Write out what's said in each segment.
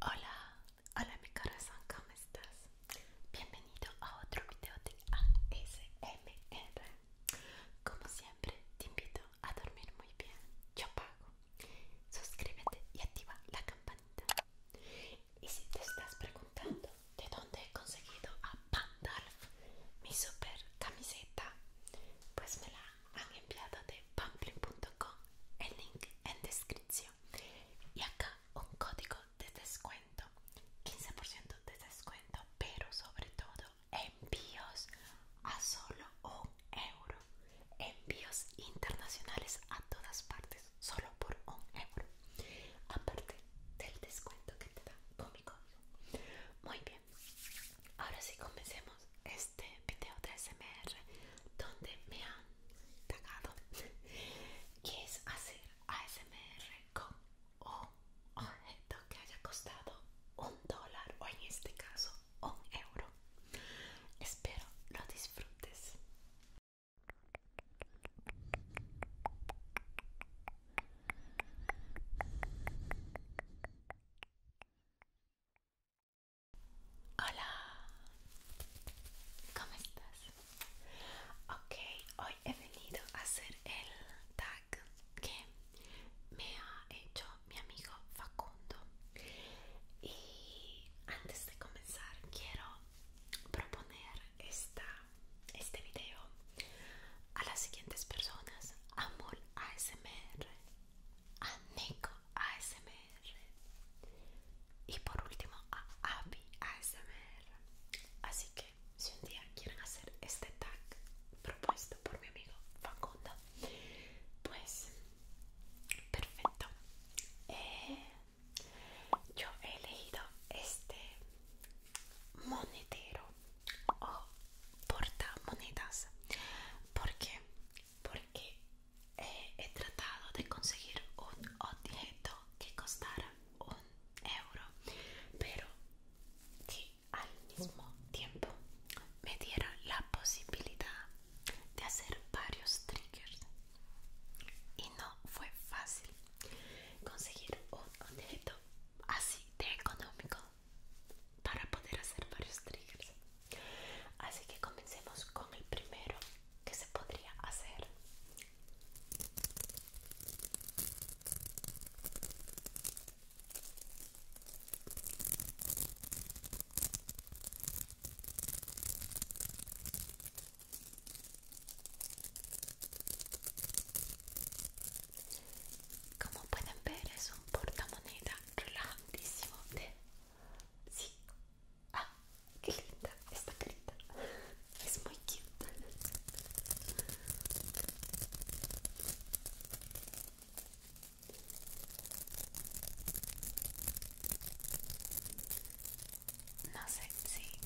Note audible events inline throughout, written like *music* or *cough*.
Hola, hola mi corazón, ¿cómo estás? Bienvenido a otro video de ASMR. Como siempre, te invito a dormir muy bien. Yo pago. Suscríbete y activa la campanita. Y si te estás preguntando de dónde he conseguido a Pandalf, mi super camiseta, pues me la han enviado de pamplin.com, el link en descripción. Y acá un código de descuento, 15% de descuento, pero sobre todo envíos a solo un euro. Envíos internacionales a todas partes, solo por un euro. Aparte del descuento que te da con mi código. Muy bien, ahora sí comencemos este video de SMR donde me han tagado *laughs* que es hacer ASMR con un objeto que haya costado un dólar o en este caso un euro espero lo disfrutes Hola, ¿cómo estás? Ok, hoy he venido a hacer el tag que me ha hecho mi amigo Facundo. Y antes de comenzar, quiero proponer este video a las siguientes personas: Amol, ASMR a Nico ASMR y por último a Abby ASMR. Así que si un día quieren hacer este tag propuesto por mi amigo Facundo, pues perfecto. Eh, yo he elegido este monetero o porta monedas porque porque eh, he tratado de conseguir un objeto que costara un euro pero que al mismo tiempo me dieron la posibilidad de hacer varios triggers y no fue fácil conseguir un objeto así de económico para poder hacer varios triggers así que comencemos con el primero que se podría hacer como pueden ver es un portamoneda relajantísimo de... Sí. Ah, qué linda esta carita. Es muy cute. No sé si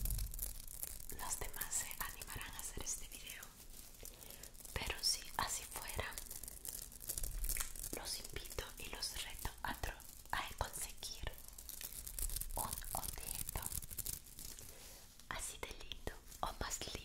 los demás se animarán a hacer este video pero si así fuera, los invito y los reto a, conseguir un objeto así de lindo o más lindo.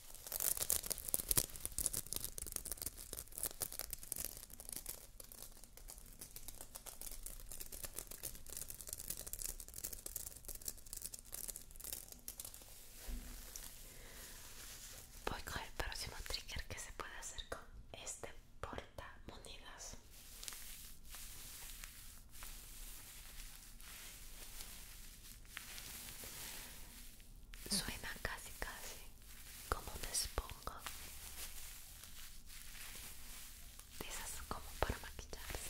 Voy con el próximo trigger que se puede hacer con este porta monedas Suena casi casi como un espongo. de como para maquillarse.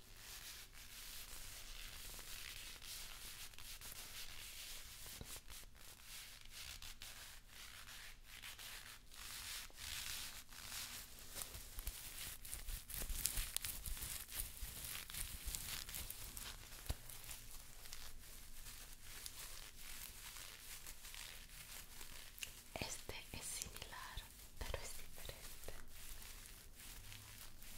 Este es similar, pero es diferente.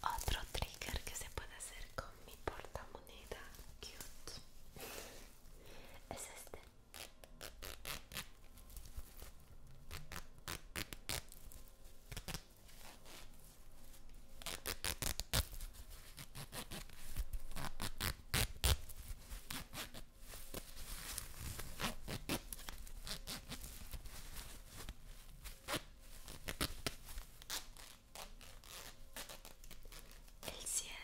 Otro trigger que se puede hacer con mi portamoneda cute es este el cierre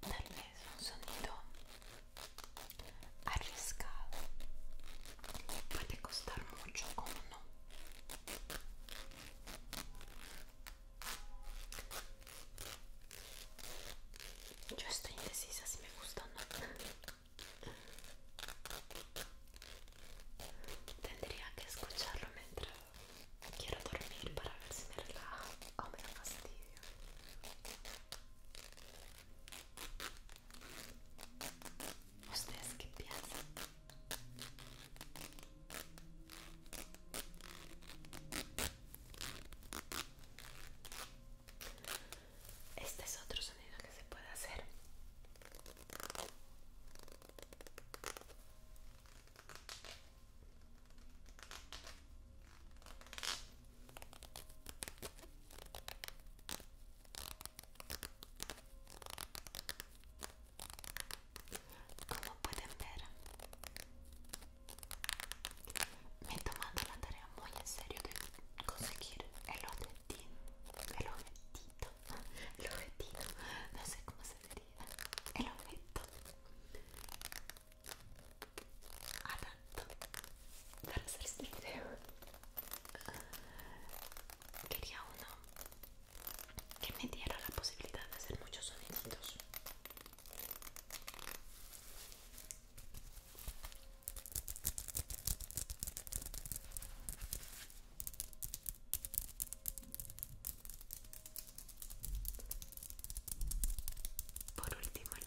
tal vez un sonido arriesgado puede costar mucho, o no? Yo estoy indecisa si me gusta o no. Tendría que escucharlo mientras quiero dormir para ver si me relaja o me da fastidio. ¿Ustedes que piensan? Este es otro sonido que se puede hacer. Como pueden ver, me he tomado la tarea muy en serio de conseguir el objetivo, el objetito, el objetivo, no sé cómo se diría, el objeto adapto para hacer este video quería uno que me diera la posibilidad de hacer muchos soniditos. Por último el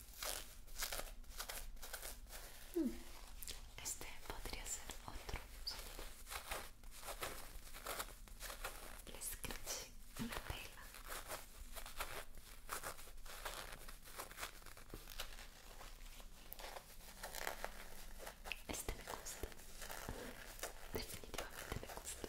Mm. Este podría ser otro Le Les una tela Este me gusta. Definitivamente me gusta.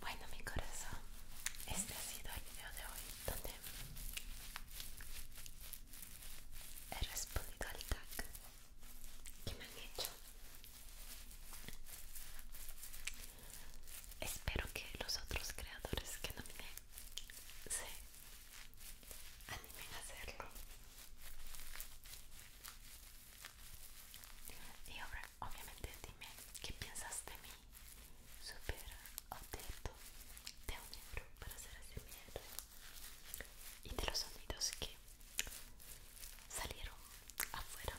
Bueno mi corazón, este ha sido el video de hoy donde he respondido al tag que me han hecho Espero que los otros creadores que nominé se animen a hacerlo. Y ahora, obviamente, dime qué piensas de mí. super objeto de un libro para hacer ese y de los sonidos que salieron afuera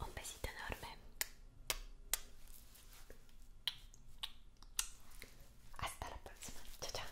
Un besito enorme. Hasta la próxima. Chao,